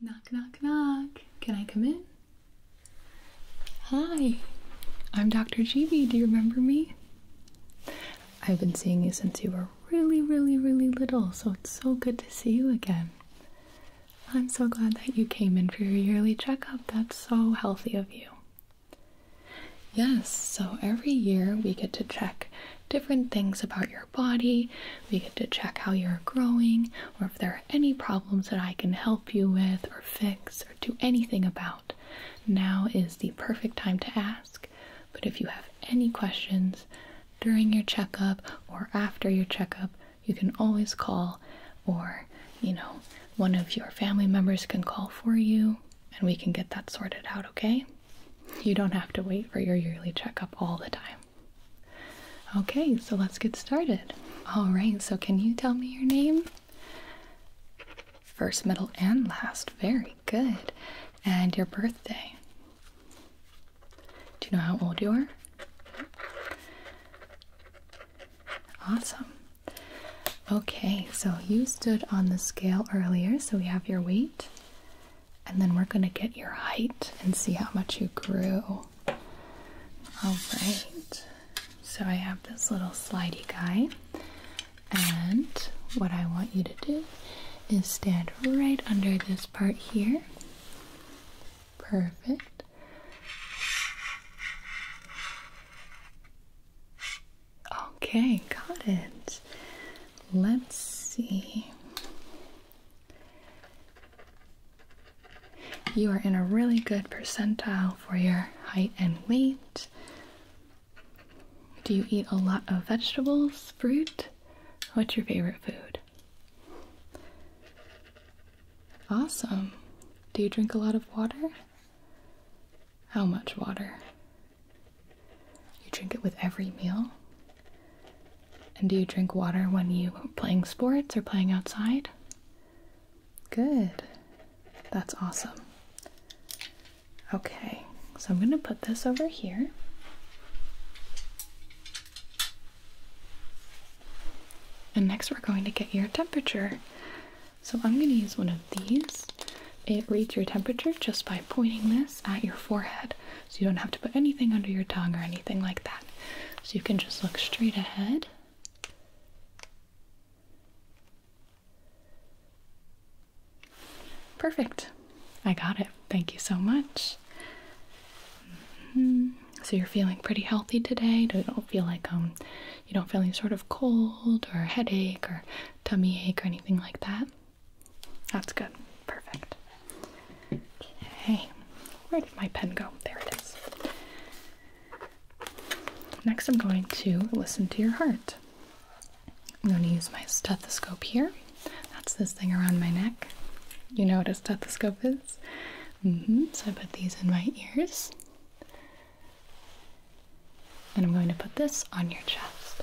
Knock, knock, knock. Can I come in? Hi, I'm Dr. GB. Do you remember me? I've been seeing you since you were really, really, really little, so it's so good to see you again. I'm so glad that you came in for your yearly checkup. That's so healthy of you. Yes, so every year we get to check different things about your body. We get to check how you're growing, or if there are any problems that I can help you with, or fix, or do anything about, now is the perfect time to ask. But if you have any questions during your checkup or after your checkup, you can always call, or you know, one of your family members can call for you and we can get that sorted out, okay? You don't have to wait for your yearly checkup all the time. Okay, so let's get started. All right, so can you tell me your name? First, middle, and last. Very good. And your birthday. Do you know how old you are? Awesome. Okay, so you stood on the scale earlier, so we have your weight and then we're going to get your height and see how much you grew. All right. So I have this little slidey guy. And what I want you to do is stand right under this part here. Perfect. Okay, got it. Let's see. You are in a really good percentile for your height and weight. Do you eat a lot of vegetables, fruit? What's your favorite food? Awesome. Do you drink a lot of water? How much water? You drink it with every meal? And do you drink water when you playing sports or playing outside? Good. That's awesome. Okay, so I'm going to put this over here. And next, we're going to get your temperature. So I'm going to use one of these. It reads your temperature just by pointing this at your forehead. So you don't have to put anything under your tongue or anything like that. So you can just look straight ahead. Perfect. I got it. Thank you so much. Mm-hmm. So you're feeling pretty healthy today. You don't feel like um you don't feel any sort of cold or headache or tummy ache or anything like that. That's good. Perfect. Okay, where did my pen go? There it is. Next, I'm going to listen to your heart. I'm going to use my stethoscope here. That's this thing around my neck. You know what a stethoscope is? Mm-hmm, so I put these in my ears. And I'm going to put this on your chest.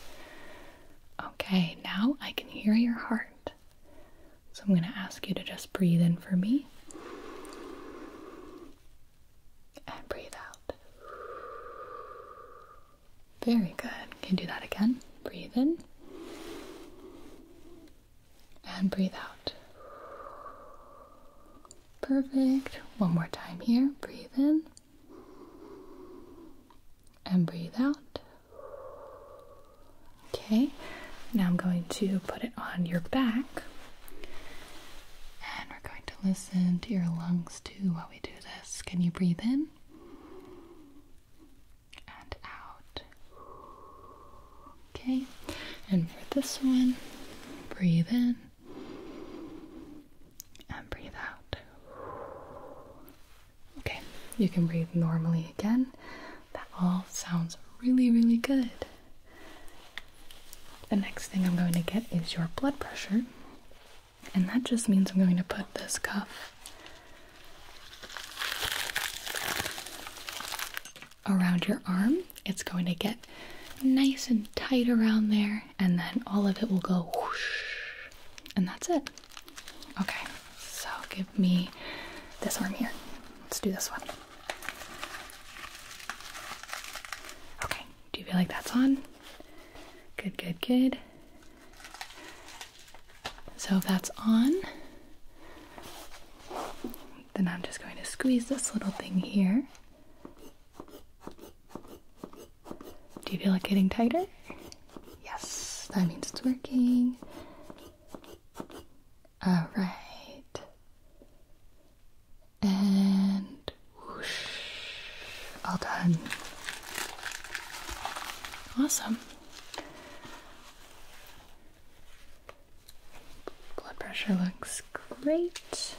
Okay, now I can hear your heart. So I'm going to ask you to just breathe in for me and breathe out. Very good. Can do that again? Breathe in and breathe out. Perfect. One more time here. Breathe in and breathe out. Okay, now I'm going to put it on your back and we're going to listen to your lungs too while we do this. Can you breathe in and out? Okay, and for this one, breathe in and breathe out. Okay, you can breathe normally again. That all sounds really, really good. The next thing I'm going to get is your blood pressure, and that just means I'm going to put this cuff around your arm. It's going to get nice and tight around there, and then all of it will go whoosh, and that's it. Okay, so give me this arm here. Let's do this one. Okay, do you feel like that's on? Good, good, good. So if that's on, then I'm just going to squeeze this little thing here. Do you feel like getting tighter? Yes, that means it's working. All right. And whoosh. All done. Awesome. Blood pressure looks great.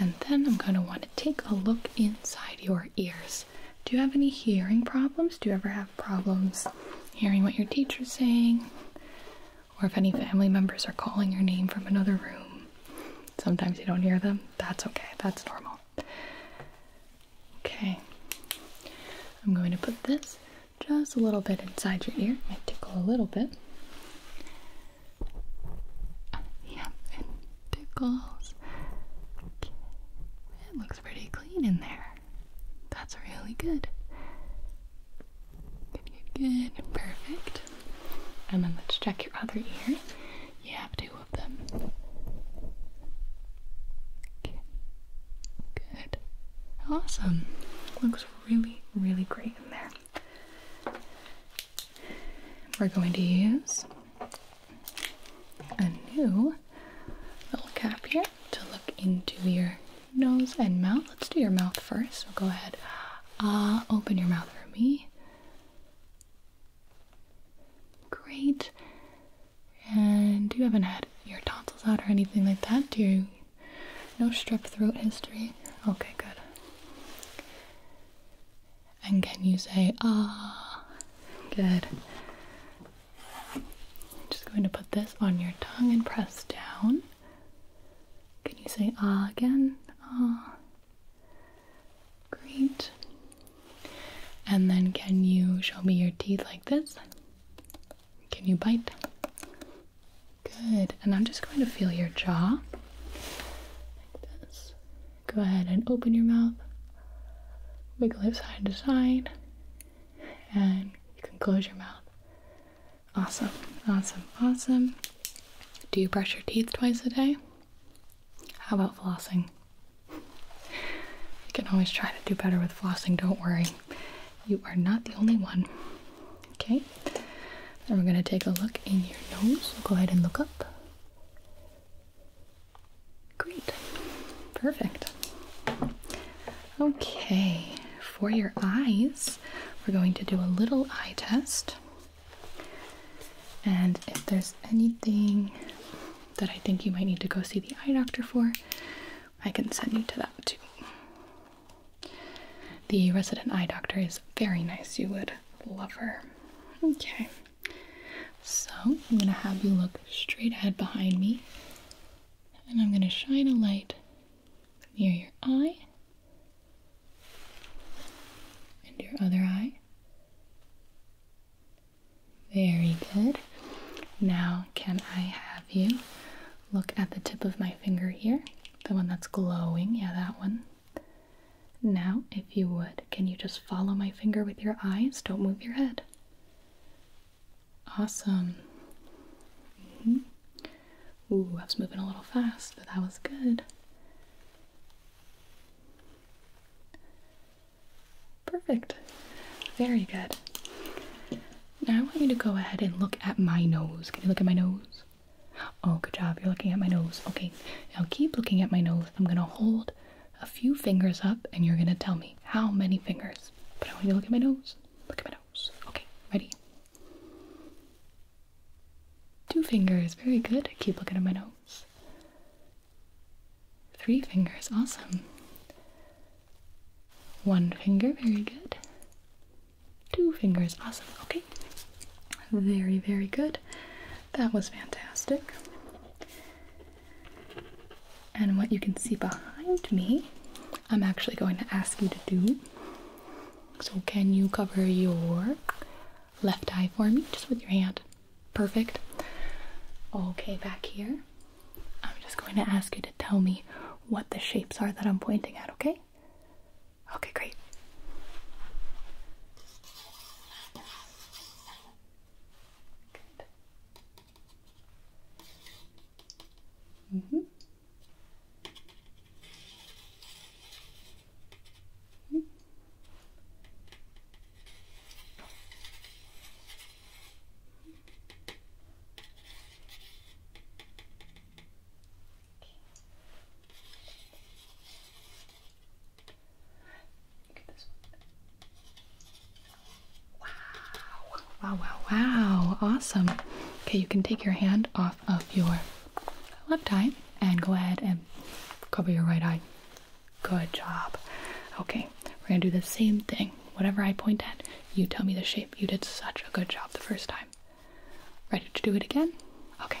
And then I'm going to want to take a look inside your ears. Do you have any hearing problems? Do you ever have problems hearing what your teacher's saying? Or if any family members are calling your name from another room, sometimes you don't hear them. That's okay, that's normal. Okay, I'm going to put this just a little bit inside your ear. It might tickle a little bit. Uh, Pickles. It looks pretty clean in there. That's really good. Good, Perfect. And then let's check your other ear. You have two of them. Good. Awesome. Looks really, really great in there. We're going to use a new little cap here to look into your nose and mouth. Let's do your mouth first. So go ahead. Uh, open your mouth for me. Great. And you haven't had your tonsils out or anything like that, do you? No strep throat history. Okay, good. And can you say ah? Good. I'm just going to put this on your tongue and press down. Can you say ah again? Ah. Great. And then can you show me your teeth like this? Can you bite? Good. And I'm just going to feel your jaw like this. Go ahead and open your mouth, wiggle it side to side, and you can close your mouth. Awesome, awesome, awesome. Do you brush your teeth twice a day? How about flossing? You can always try to do better with flossing, don't worry. You are not the only one. Okay, then we're going to take a look in your nose. Go ahead and look up. Great. Perfect. Okay, for your eyes, we're going to do a little eye test. And if there's anything that I think you might need to go see the eye doctor for, I can send you to that too. The resident eye doctor is very nice. You would love her. Okay. So, I'm gonna have you look straight ahead behind me, and I'm gonna shine a light near your eye and your other eye. Very good. Now, can I have you look at the tip of my finger here? The one that's glowing, yeah, that one. Now, if. If you would, can you just follow my finger with your eyes? Don't move your head. Awesome. Mm-hmm. Ooh, I was moving a little fast, but that was good. Perfect. Very good. Now I want you to go ahead and look at my nose. Can you look at my nose? Oh, good job. You're looking at my nose. Okay, now keep looking at my nose. I'm going to hold a few fingers up and you're gonna tell me how many fingers. But I want you to look at my nose. Look at my nose. Okay, ready? Two fingers, very good. Keep looking at my nose. Three fingers, awesome. One finger, very good. Two fingers, awesome. Okay, very, very good. That was fantastic. And what you can see behind me, I'm actually going to ask you to do. So, can you cover your left eye for me just with your hand? Perfect. Okay, back here. I'm just going to ask you to tell me what the shapes are that I'm pointing at, okay? Okay, great. Good. Mm -hmm. Wow. Wow, wow, wow. Awesome. Okay, you can take your hand off of your left eye and go ahead and cover your right eye. Good job. Okay, we're gonna do the same thing. Whatever I point at, you tell me the shape. You did such a good job the first time. Ready to do it again? Okay.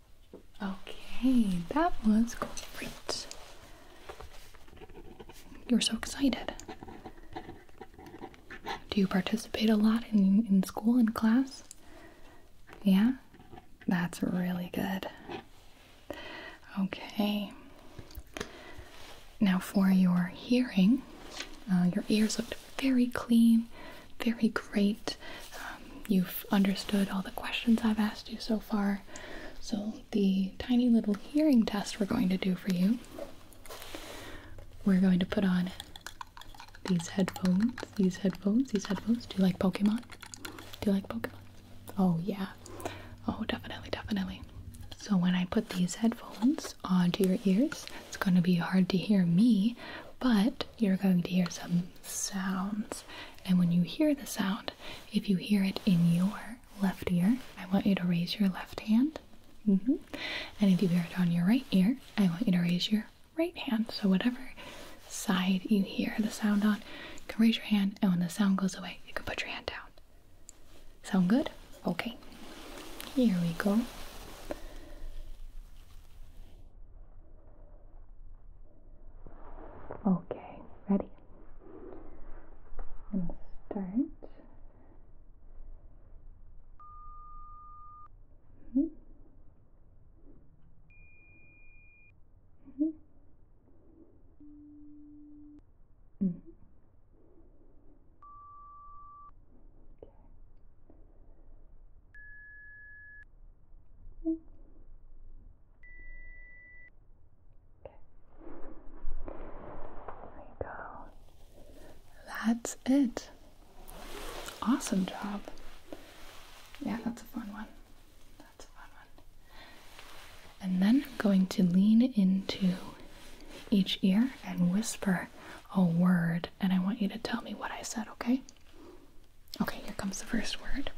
Okay, that was great. You're so excited. Do you participate a lot in, in school and class? Yeah? That's really good. Okay. Now, for your hearing, uh, your ears looked very clean, very great. Um, you've understood all the questions I've asked you so far. So, the tiny little hearing test we're going to do for you we're going to put on these headphones, these headphones, these headphones. Do you like Pokemon? Do you like Pokemon? Oh, yeah. Oh, definitely, definitely. So, when I put these headphones onto your ears, it's going to be hard to hear me, but you're going to hear some sounds. And when you hear the sound, if you hear it in your left ear, I want you to raise your left hand. Mm-hmm. And if you hear it on your right ear, I want you to raise your right hand. So, whatever side you hear the sound on, you can raise your hand, and when the sound goes away, you can put your hand down. Sound good? Okay. Here we go. Okay, ready? I'm going to start. Mm -hmm. Mm -hmm. Mm -hmm. Okay. Mm-hmm. There you go. That's it. Awesome job. Yeah, that's a fun one. That's a fun one. And then I'm going to lean into each ear and whisper a word, and I want you to tell me what I said, okay? Okay, here comes the first word.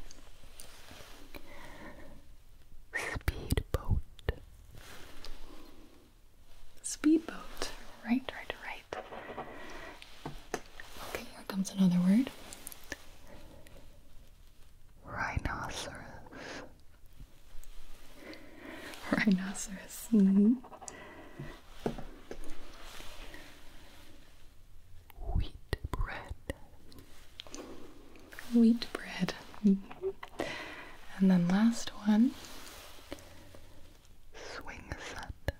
Speedboat. Speedboat. Right, right, right. Okay, here comes another word. Rhinoceros. Rhinoceros. -hmm wheat bread. Wheat bread. And then last one swing set.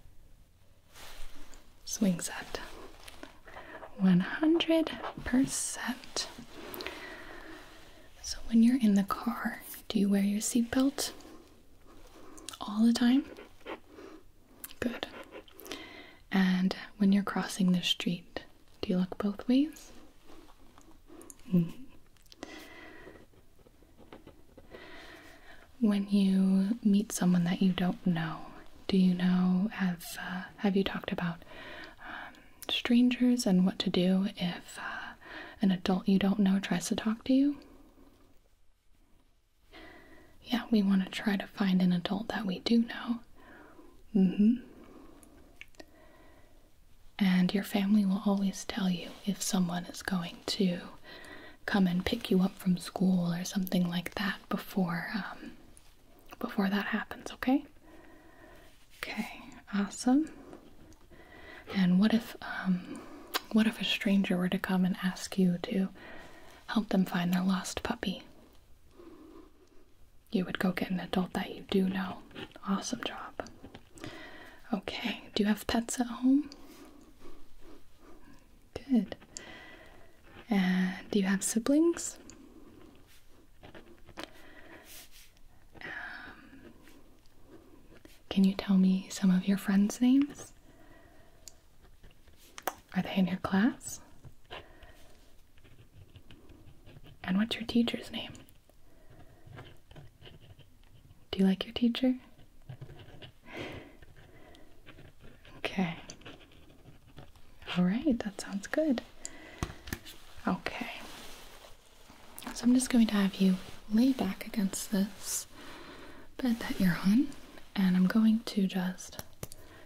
Swing set. 100%. So when you're in the car, do you wear your seatbelt all the time? Good. And when you're crossing the street, do you look both ways? Mm-hmm. When you meet someone that you don't know, do you know have uh, have you talked about um, strangers and what to do if uh, an adult you don't know tries to talk to you? Yeah, we want to try to find an adult that we do know. Mm-hmm. And your family will always tell you if someone is going to come and pick you up from school or something like that before um, before that happens. Okay. Okay. Awesome. And what if um, what if a stranger were to come and ask you to help them find their lost puppy? You would go get an adult that you do know. Awesome job. Okay, do you have pets at home? Good. And do you have siblings? Um, can you tell me some of your friends' names? Are they in your class? And what's your teacher's name? Do you like your teacher? Okay. All right, that sounds good. Okay. So I'm just going to have you lay back against this bed that you're on, and I'm going to just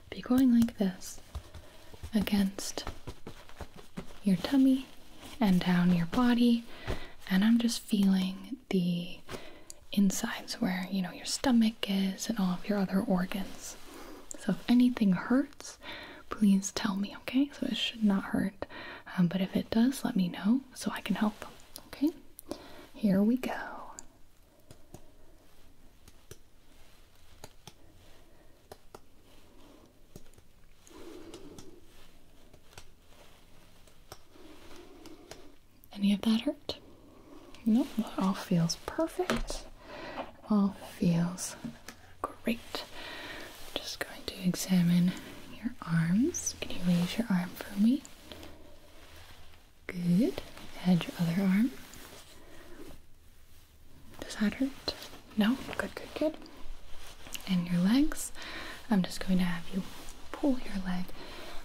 be going like this against your tummy and down your body and i'm just feeling the insides where you know your stomach is and all of your other organs so if anything hurts please tell me okay so it should not hurt um, but if it does let me know so i can help okay here we go any of that hurt? No, nope. all feels perfect. All feels great. I'm just going to examine your arms. Can you raise your arm for me? Good. And your other arm. Does that hurt? No? Good, good, good. And your legs. I'm just going to have you pull your leg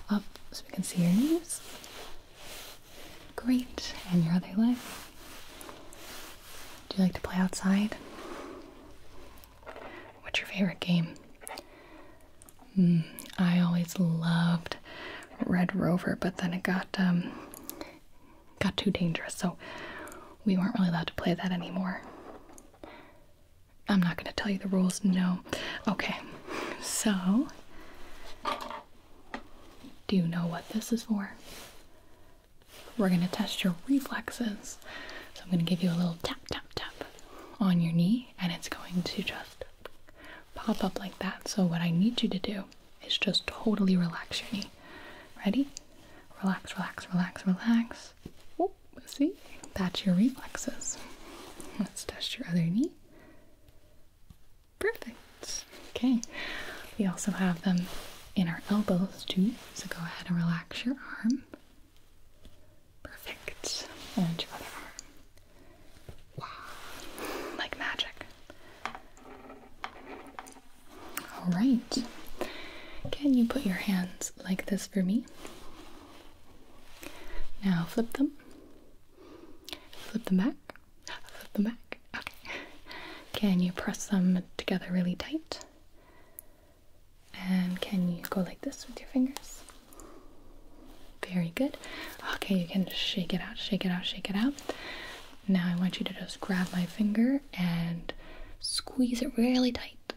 up so we can see your knees. Great. And your other leg. Do you like to play outside? What's your favorite game? Mm, I always loved Red Rover, but then it got um, got too dangerous, so we weren't really allowed to play that anymore. I'm not going to tell you the rules, no. Okay, so do you know what this is for? We're going to test your reflexes. So I'm going to give you a little tap, tap, tap on your knee, and it's going to just pop up like that. So, what I need you to do is just totally relax your knee. Ready? Relax, relax, relax, relax. Whoop, see? That's your reflexes. Let's test your other knee. Perfect. Okay. We also have them in our elbows too. So go ahead and relax your arm. Perfect. And your other arm. Wow, like magic. All right. Can you put your hands like this for me? Now flip them. Flip them back. Flip them back. Okay. Can you press them together really tight? And can you go like this with your fingers? Very good. Okay, you can shake it out, shake it out, shake it out. Now I want you to just grab my finger and squeeze it really tight.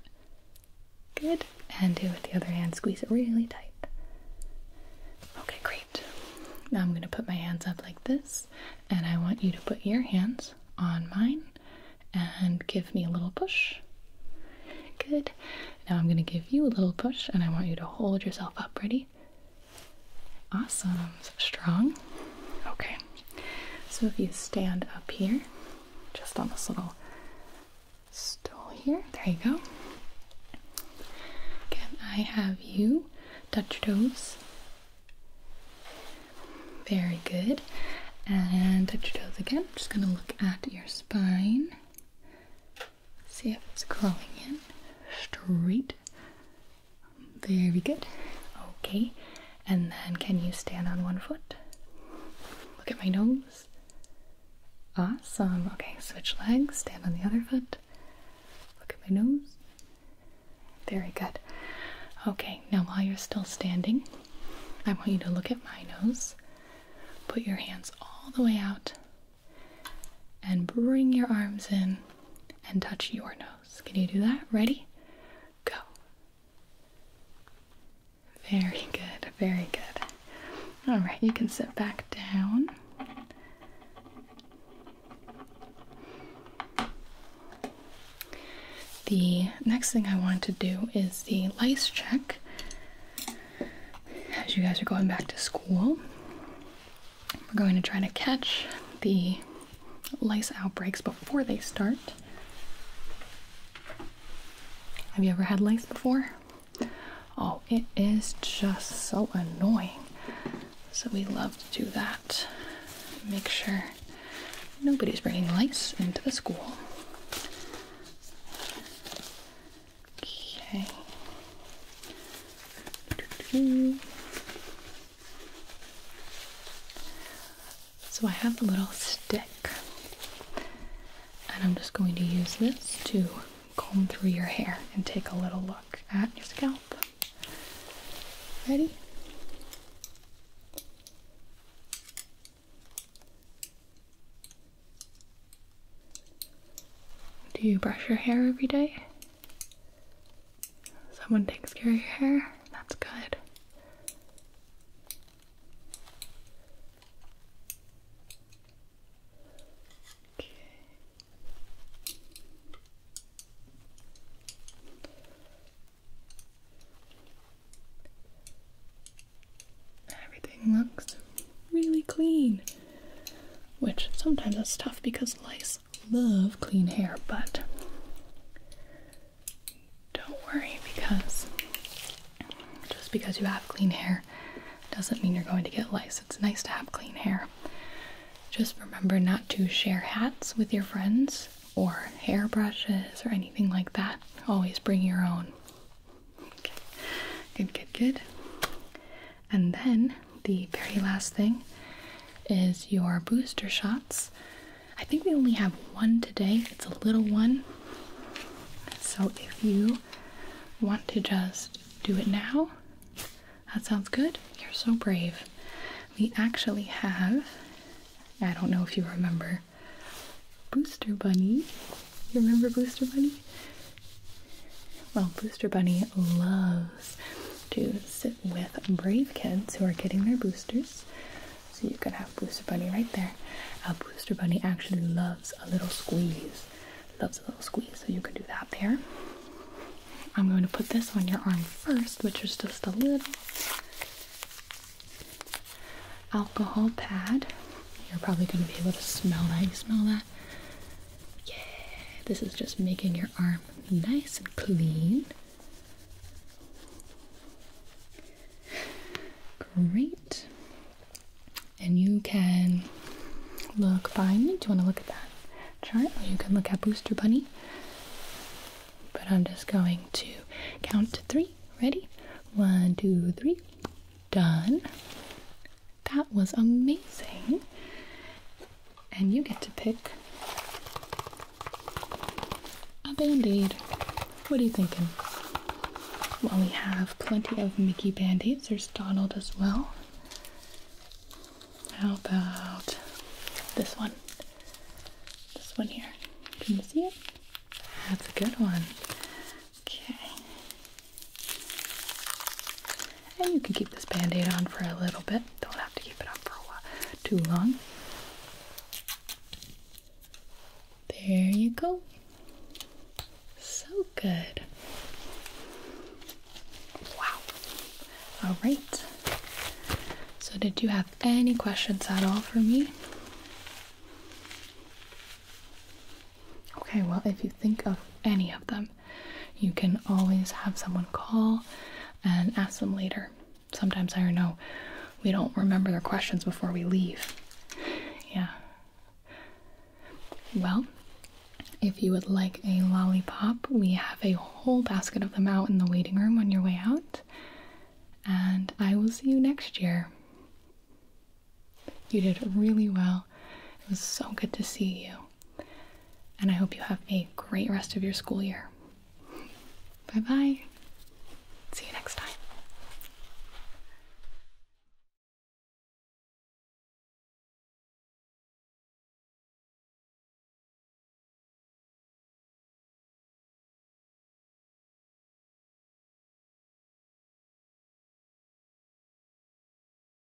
Good. And do it with the other hand, squeeze it really tight. Okay, great. Now I'm going to put my hands up like this, and I want you to put your hands on mine and give me a little push. Good. Now I'm going to give you a little push, and I want you to hold yourself up. Ready? Awesome. So strong. Okay. So if you stand up here, just on this little stool here, there you go. Can I have you touch your toes? Very good. And touch your toes again. just going to look at your spine. See if it's crawling in straight. Very good. Okay. And then can you stand on one foot? Look at my nose. Awesome. Okay, switch legs, stand on the other foot. Look at my nose. Very good. Okay, now while you're still standing, I want you to look at my nose. Put your hands all the way out and bring your arms in and touch your nose. Can you do that? Ready? Go. Very good, very good. All right, you can sit back down. The next thing I want to do is the lice check. As you guys are going back to school, we're going to try to catch the lice outbreaks before they start. Have you ever had lice before? Oh, it is just so annoying. So we love to do that. Make sure nobody's bringing lice into the school. Okay. So I have a little stick, and I'm just going to use this to comb through your hair and take a little look at your scalp. Ready? Do you brush your hair every day? Someone takes care of your hair? That's good. Okay. Everything looks really clean. Which sometimes is tough because lice love clean hair, but don't worry because just because you have clean hair doesn't mean you're going to get lice. It's nice to have clean hair. Just remember not to share hats with your friends or hair brushes or anything like that. Always bring your own. Good, good, good. And then the very last thing is your booster shots. I think we only have one today, it's a little one. So if you want to just do it now, that sounds good. You're so brave. We actually have, I don't know if you remember, Booster Bunny. You remember Booster Bunny? Well, Booster Bunny loves to sit with brave kids who are getting their boosters. So you can have Booster Bunny right there. Booster Bunny actually loves a little squeeze. Loves a little squeeze, so you can do that there. I'm going to put this on your arm first, which is just a little alcohol pad. You're probably going to be able to smell that. You smell that? Yeah, this is just making your arm nice and clean. Great. And you can look by me. Do you want to look at that chart? Or you can look at Booster Bunny. But I'm just going to count to three. Ready? One, two, three. Done. That was amazing. And you get to pick a band aid. What are you thinking? Well, we have plenty of Mickey band aids. There's Donald as well. How about this one? This one here. Can you see it? That's a good one. Okay. And you can keep this band-aid on for a little bit. Don't have to keep it on for a while too long. There you go. So good. Wow. All right. So did you have any questions at all for me? Okay, well, if you think of any of them, you can always have someone call and ask them later. Sometimes I don't know, we don't remember their questions before we leave. Yeah. Well, if you would like a lollipop, we have a whole basket of them out in the waiting room on your way out. And I will see you next year. You did really well. It was so good to see you. And I hope you have a great rest of your school year. Bye bye. See you next time.